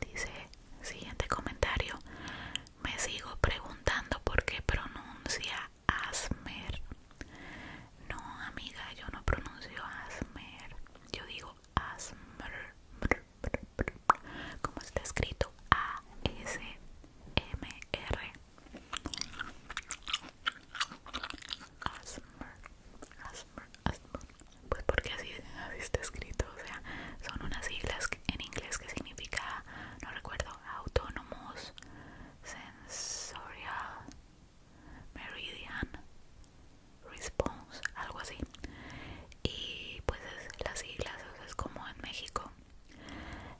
Dice, siguiente comentario, me sigo preguntando por qué pronuncia Asmer. No, amiga, yo no pronuncio Asmer, yo digo Asmer, como está escrito A-S-M-R. Asmer, pues porque así, está escrito, o sea, son unas siglas en inglés que significa, no recuerdo, Autonomous Sensorial Meridian Response, algo así. Y pues es las siglas, es como en México,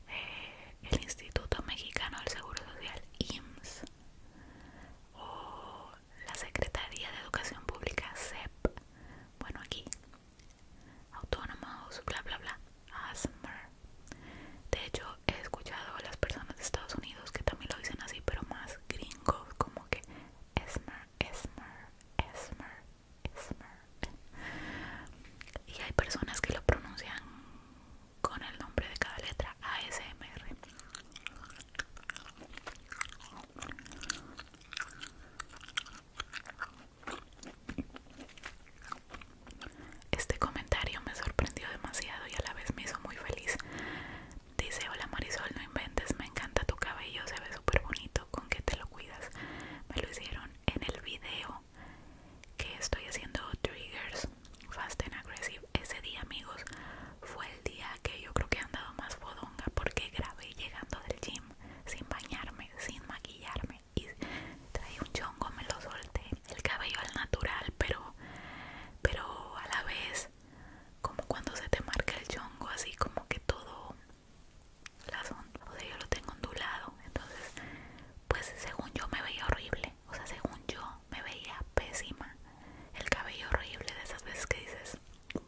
eh, el Instituto Mexicano del Seguro Social, IMSS, o la Secretaría de Educación Pública, SEP, bueno aquí, autónomos, bla bla bla, ASMR. De hecho, he escuchado a las personas de Estados Unidos que también lo dicen así, pero más gringos, como que ASMR, esmer, esmer, ASMR. Y hay personas que lo pronuncian con el nombre de cada letra ASMR. Este comentario me sorprendió demasiado y a la vez me hizo muy feliz. Dice, hola Marisol, no inventes, me encanta tu cabello, se ve súper bonito, ¿con qué te lo cuidas? Me lo hicieron en el video que estoy haciendo triggers fast and aggressive ese día, amigos, fue el día que yo creo que he andado más bodonga porque grabé llegando del gym sin bañarme, sin maquillarme y traí un chongo, me lo solté, el cabello al natural, pero, pero a la vez como cuando se te marca el chongo, así como que todo la o sea, yo lo tengo ondulado, entonces, pues según yo me veía horrible, o sea, según yo me veía pésima. El cabello horrible de esas veces que dices,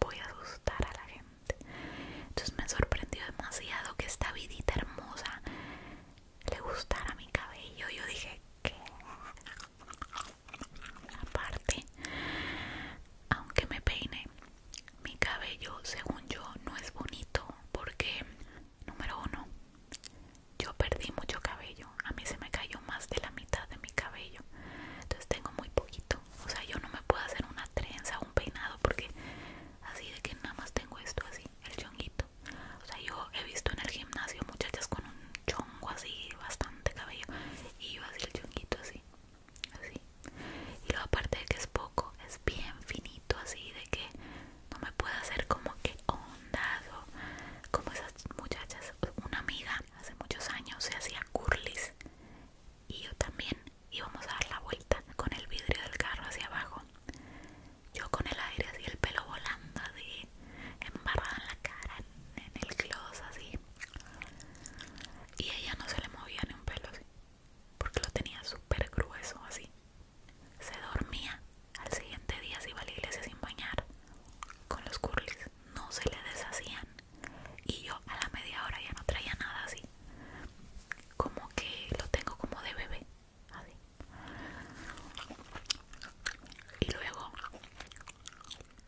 voy a asustar a la gente. Entonces me sorprendió demasiado que esta vidita hermosa le gustara mi cabello. Yo dije, ¿qué? Aparte, aunque me peine, mi cabello, según yo, no es bonito porque, número uno, yo perdí mucho cabello, a mí se me cayó más de la mitad de mi cabello, entonces tengo muy poquito, o sea, yo no me puedo hacer una trenza, un peinado, porque así de que nada más tengo esto así, el chonguito, o sea, yo he visto en el gimnasio muchachas con un chongo así, bastante cabello, y yo así el chonguito así, así, y luego aparte de que es poco, es bien finito así, de que no me puedo hacer como que ondado, como esas muchachas, una amiga hace muchos años se hacía curlis y yo también íbamos a dar la vuelta con el vidrio del carro hacia abajo. Yo con el aire así, el pelo volando así, embarrada en la cara, en, el closet así. Y ella no se le movía ni un pelo así, porque lo tenía súper grueso así. Se dormía, al siguiente día si iba a sin bañar, con los curlis no se le deshacían y yo a la media hora ya no traía nada así como que lo tengo como de bebé así y luego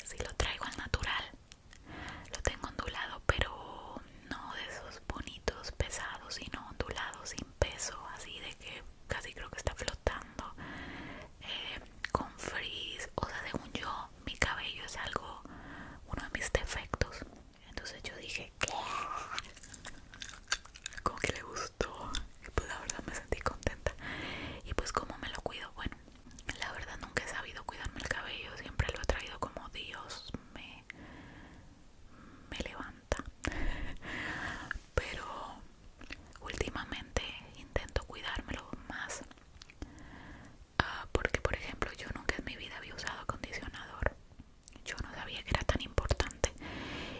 si lo traigo al natural lo tengo ondulado pero no de esos bonitos pesados sino ondulado sin peso así de que casi creo que está flotando eh, con frizz o sea según yo mi cabello es algo uno de mis defectos entonces yo dije ¿Qué? como que le gustó y pues la verdad me sentí contenta y pues como me lo cuido bueno la verdad nunca he sabido cuidarme el cabello siempre lo he traído como Dios me me levanta pero últimamente intento cuidármelo más ah, porque por ejemplo yo nunca en mi vida había usado acondicionador yo no sabía que era tan importante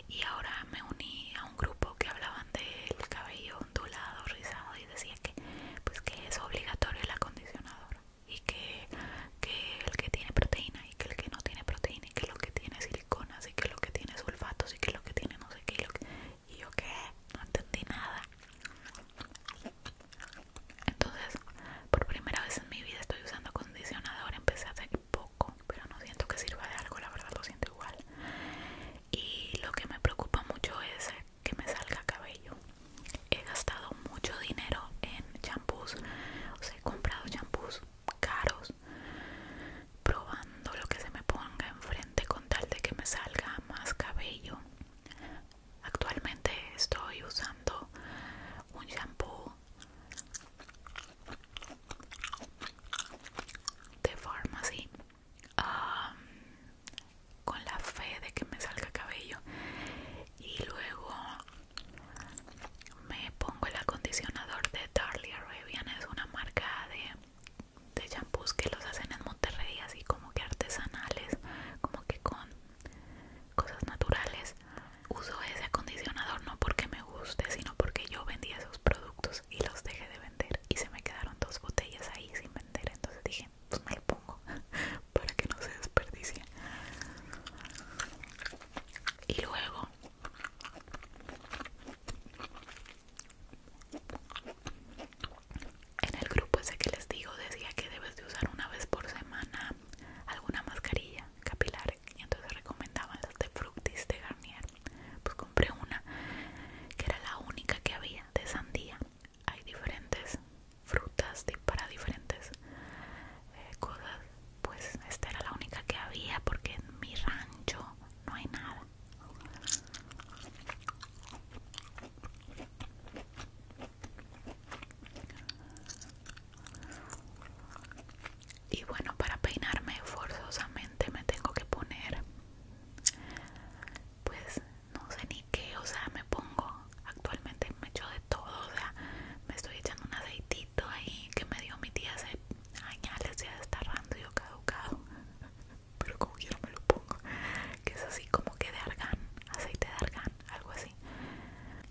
y ahora me uní a un grupo que hablaban del cabello ondulado rizado y decía que pues que es obligatorio el acondicionador y que, que el que tiene proteína y que el que no tiene proteína y que lo que tiene siliconas y que lo que tiene sulfatos y que lo que tiene no sé qué lo que, y yo qué, no entendí nada. Entonces, por primera vez en mi vida estoy usando acondicionador, empecé hace poco, pero no siento que sirva de algo, la verdad lo siento igual. Y lo que me preocupa mucho es que me salga cabello. He gastado mucho dinero en champús, o sea, he comprado champús caros probando lo que se me ponga enfrente tal de que me salga más cabello actualmente estoy usando un shampoo de Pharmacy um, con la fe de que me salga cabello y luego me pongo el acondicionador de Darlie Arabian es una marca de de champús que los hacen en Monterrey así como que artesanales como que con cosas naturales uso ese acondicionador no porque me guste sino porque yo vendía esos productos y los dejé de vender y se me quedaron dos botellas ahí sin vender entonces dije pues me lo pongo para que no se desperdicie y luego en el grupo ese que les digo decía que debes de usar una vez por semana alguna mascarilla capilar y entonces recomendaban las de Fructis de Garnier. Pues compré una que era la única que había de sandía. Hay diferentes frutas para diferentes eh, cosas. Pues esta era la única que había porque en mi rancho no hay nada. Y bueno, para peinarme forzosamente me tengo que poner, pues no sé ni qué, o sea, me pongo, actualmente me echo de todo, me estoy echando un aceitito ahí que me dio mi tía hace años, ya está rando yo caducado pero como quiero me lo pongo que es así como que de argan aceite de argan, algo así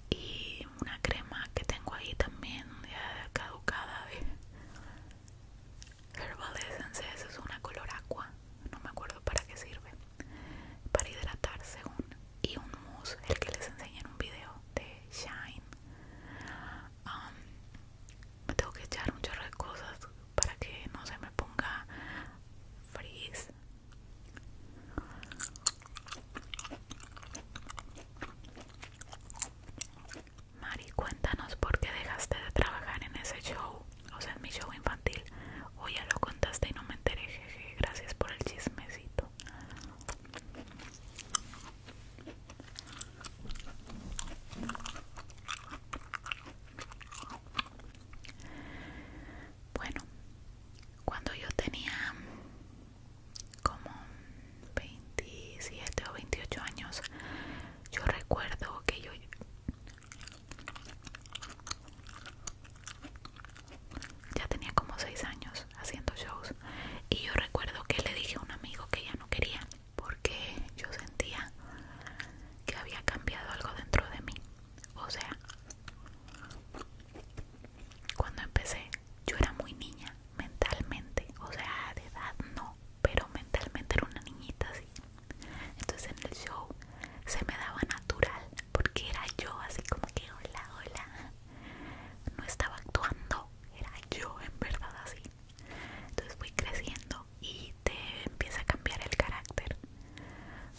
y una crema que tengo ahí también ya caducada de Herbal Essence es una color aqua no me acuerdo para qué sirve para hidratar según y un mousse el que les enseñé en un video de Shine um, me tengo que echar un chorro de cosas para que no se me ponga frizz Mari, cuéntanos por qué dejaste de trabajar en ese show, o sea, en mi show infantil. O ya lo contaste y no me enteré, jeje. Gracias por el chismecito. Bueno, cuando yo tenía como 27 o 28 años, yo recuerdo que yo ya tenía como 6 años haciendo shows y yo recuerdo que le dije a un amigo que ya no quería porque yo sentía que había cambiado algo dentro de mí. O sea, cuando empecé yo era muy niña mentalmente, o sea, de edad no, pero mentalmente era una niñita así. Entonces en el show se me daba natural porque era yo así como que hola, hola. No estaba actuando, era yo en verdad así. Entonces fui creciendo y te empieza a cambiar el carácter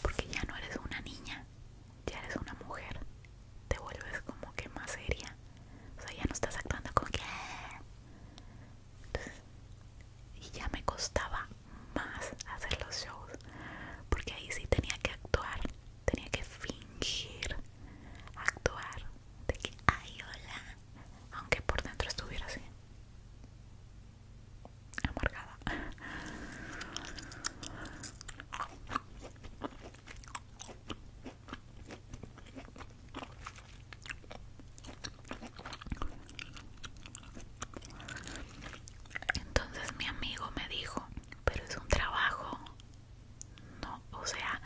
porque ya no eres una niña ya eres una mujer te vuelves como que más seria o sea ya no estás actuando como que ah". y ya me costaba más hacer los shows porque ahí sí tenía que actuar tenía que fingir actuar de que ay hola aunque por dentro estuviera así amargada entonces mi amigo me dijo pero es un trabajo no o sea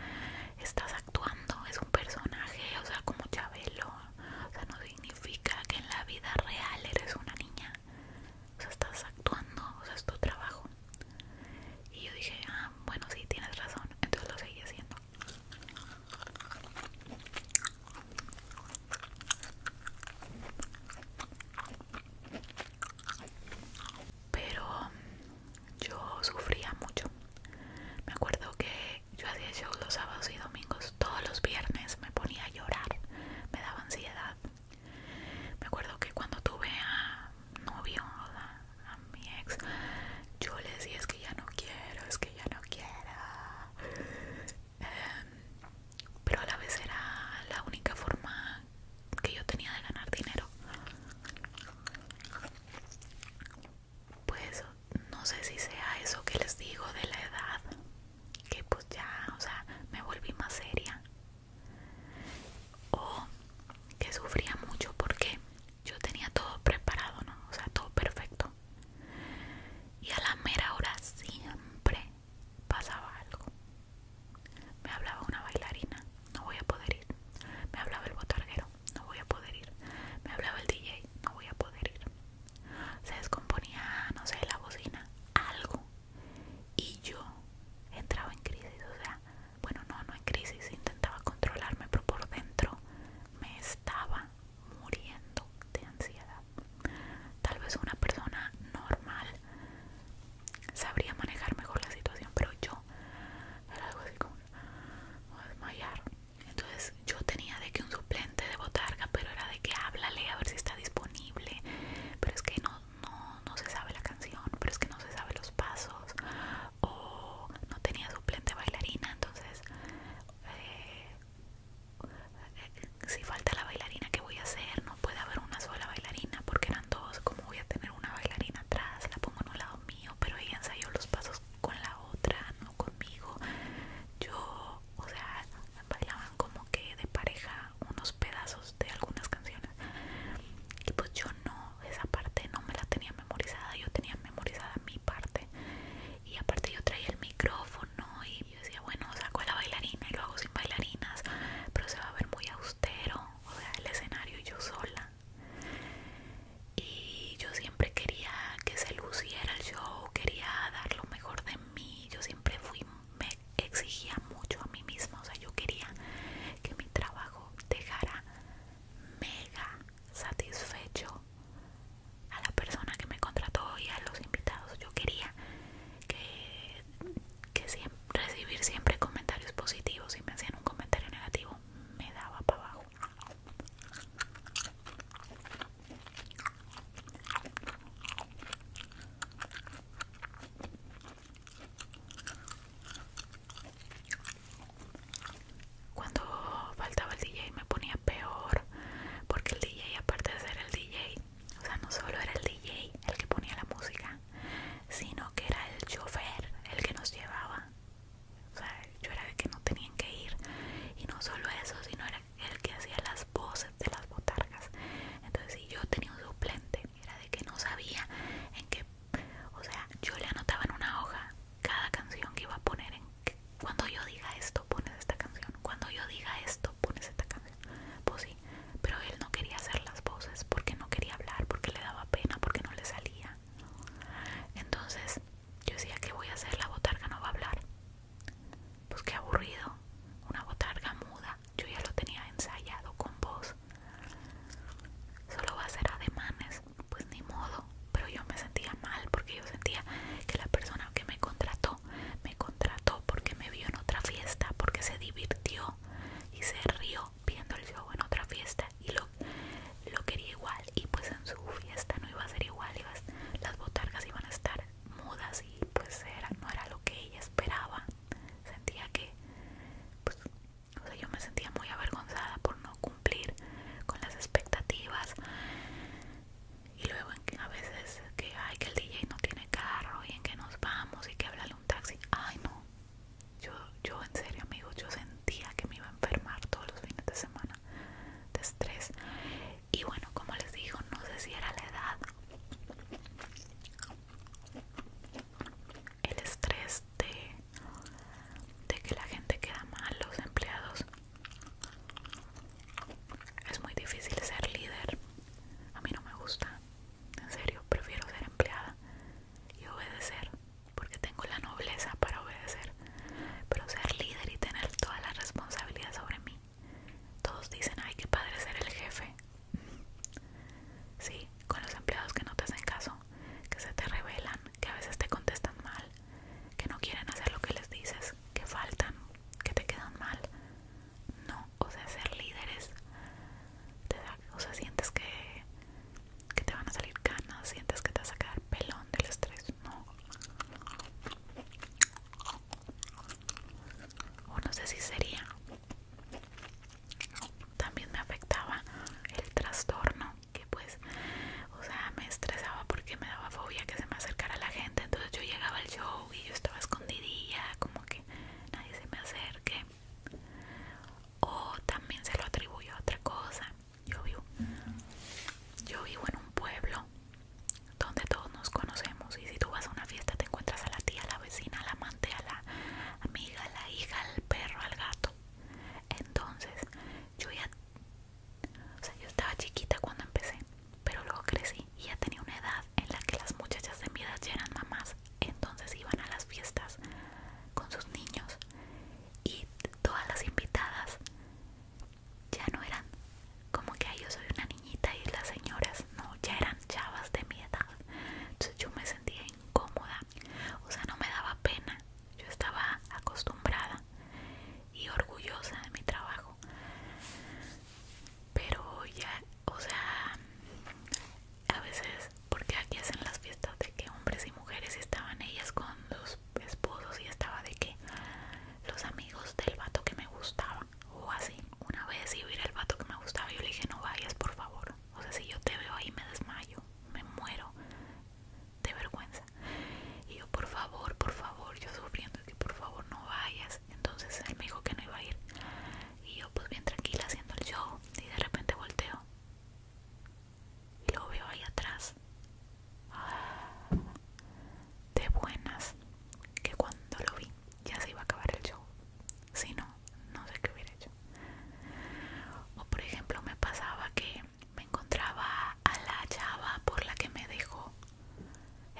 estás actuando es un personaje o sea como Chabelo o sea, no significa que en la vida real eres una niña, o sea, estás actuando, o sea, es tu trabajo. Y yo dije, ah, bueno, sí, tienes razón, entonces lo seguí haciendo. Pero yo sufría mucho. Me acuerdo que yo hacía shows los sábados y domingos, todos los viernes me ponía a llorar, me daba ansiedad. Me acuerdo que cuando tuve a novio, a, mi ex, yo le decía es que ya no quiero, es que ya no quiero. Em, pero a la vez era la única forma que yo tenía de ganar dinero. Pues no sé si sea eso que les digo de la edad, que pues ya, o sea, me volví más seria. O que sufría mucho porque yo tenía todo preparado, ¿no? O sea, todo perfecto. Y a la mera hora siempre pasaba algo. Me hablaba una bailarina, no voy a poder ir. Me hablaba el botarguero, no voy a poder ir. Me hablaba el DJ, no voy a poder ir se descomponía, no sé, la bocina, algo. Y yo entraba en crisis, o sea, bueno, no, no en crisis, intentaba controlarme, pero por dentro me estaba muriendo de ansiedad. Tal vez una persona normal sabría manejar mejor la situación, pero yo era algo así como desmayar, entonces yo tenía de que un suplente de botarga, pero era de que háblale a ver si está disponible. Pero es que no, se sabe la canción, pero es que no se sabe los pasos. O no tenía suplente bailarina, entonces eh, eh, si falta la bailarina, ¿qué voy a hacer? No puede haber una sola bailarina porque eran dos. ¿Cómo voy a tener una bailarina atrás? La pongo en un lado mío, pero ella ensayó los pasos con la otra, no conmigo. Yo o sea, bailaban como que de pareja unos pedazos de algunas canciones. Y pues yo no, esa parte no me la tenía memorizada, yo tenía memorizada mi parte. Y aparte yo traía el micrófono y yo decía, bueno, saco a la bailarina y lo hago sin bailarinas, pero se va a ver muy austero, o sea, el escenario yo sola. Y yo siempre quería que se luciera el show, quería dar lo mejor de yo siempre fui, me exigía mucho a mí misma, o sea, yo quería que mi trabajo dejara mega satisfecho a la persona que me contrató y a los invitados. Yo quería que, siempre, recibir siempre comentarios positivos. Si me hacían un comentario negativo, me daba para abajo. Cuando faltaba el DJ me ponía peor, porque el DJ aparte de ser el DJ, o sea, no solo era el DJ el que ponía la música, sino que era el chofer el que nos llevaba. O sea, yo era de que no tenían que ir. Y no solo eso, sino era el que hacía las voces de las botargas. Entonces, si yo tenía un suplente, era de que no sabía en qué, o sea, yo le anotaba en una hoja cada canción que iba a poner en cuando yo diga esto, pones esta canción, cuando yo diga esto, pones esta canción. Pues sí, pero él no quería hacer las voces porque no quería hablar, porque le daba pena, porque no le salía. Entonces, yo decía que voy a hacer la botarga, no va a hablar. Pues qué aburrido, una botarga muda, yo ya lo tenía ensayado con vos Solo va a ser ademanes, pues ni modo, pero yo me sentía mal porque yo sentía que la persona que me contrató, me contrató porque me vio en otra fiesta, porque se divirtió y se rió viendo el show en otra fiesta y lo, quería igual y pues en su fiesta no iba a ser igual, y las botargas iban a estar mudas y pues era, no era lo que ella esperaba. Sentía que, pues, o sea, yo me sentía muy avergonzada por no cumplir con las expectativas. Y luego a veces que, ay, que el DJ no tiene carro y en que nos vamos y que háblale un taxi. Ay, no. Yo, yo en serio, amigos, yo sentía que me iba a enfermar todos los fines de semana de estrés y bueno como les digo no sé si era la edad el estrés de, de que la gente queda mal los empleados es muy difícil ser líder a mí no me gusta en serio prefiero ser empleada y obedecer porque tengo la nobleza para obedecer pero ser líder y tener toda la responsabilidad sobre mí todos dicen, hay que padre ser el jefe. Sí, con los empleados que no te hacen caso, que se te rebelan, que a veces te contestan mal, que no quieren hacer lo que les dices, que faltan, que te quedan mal. No, o sea, ser líderes, o sea, sientes que, que te van a salir canas, sientes que te vas a quedar pelón del estrés. No o no sé si sería también me afectaba el trastorno que pues o sea me estresaba porque me daba fobia que se me acercara la gente entonces yo llegaba al show y yo estaba escondidilla como que nadie se me acerque o también se lo atribuyo a otra cosa yo vivo yo vivo en un pueblo donde todos nos conocemos y si tú vas a una fiesta te encuentras a la tía, la vecina, la amante, a la amiga, a la hija, al perro, al gato. Entonces, yo ya o sea, yo estaba chiquita cuando empecé, pero luego crecí y ya tenía una edad en la que las muchachas de mi edad ya eran mamás, entonces iban a las fiestas con sus niños y todas las invitadas ya no eran como que yo soy una niñita y las señoras, no, ya eran chavas de mi edad. Entonces yo me sentía incómoda, o sea, no me daba pena. Yo estaba acostumbrada y orgullosa de mi trabajo. Pero ya, o sea, a veces, porque aquí hacen las fiestas de que hombres y mujeres estaban ellas con sus esposos y estaba de que los amigos del vato que me gustaba o así. Una vez iba a ir al vato que me gustaba, yo le dije, no vayas, por favor. O sea, si yo te veo ahí me desmayo, me muero de vergüenza. Y yo, por favor, por favor, yo sufriendo, que por favor no vayas. Entonces él me dijo que no iba a ir. Y yo, pues bien tranquila haciendo el show. Y de repente volteo. Y lo veo ahí atrás de buenas que cuando lo vi ya se iba a acabar el show. Si no, no sé qué hubiera hecho. O por ejemplo me pasaba que me encontraba a la chava por la que me dejó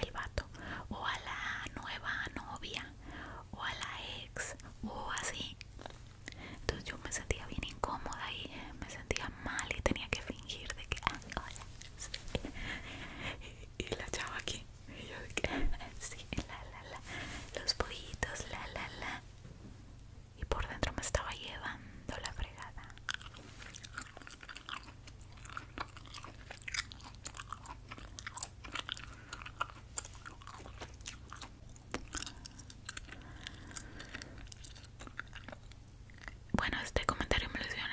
el vato. O a la nueva novia. O a la ex. O así. Entonces yo me sentía bien incómoda y me sentía mal y tenía que fingir de que, ah, y la chava aquí y yo de que sí la la la los pollitos la la la y por dentro me estaba llevando la fregada bueno, este comentario me lo hicieron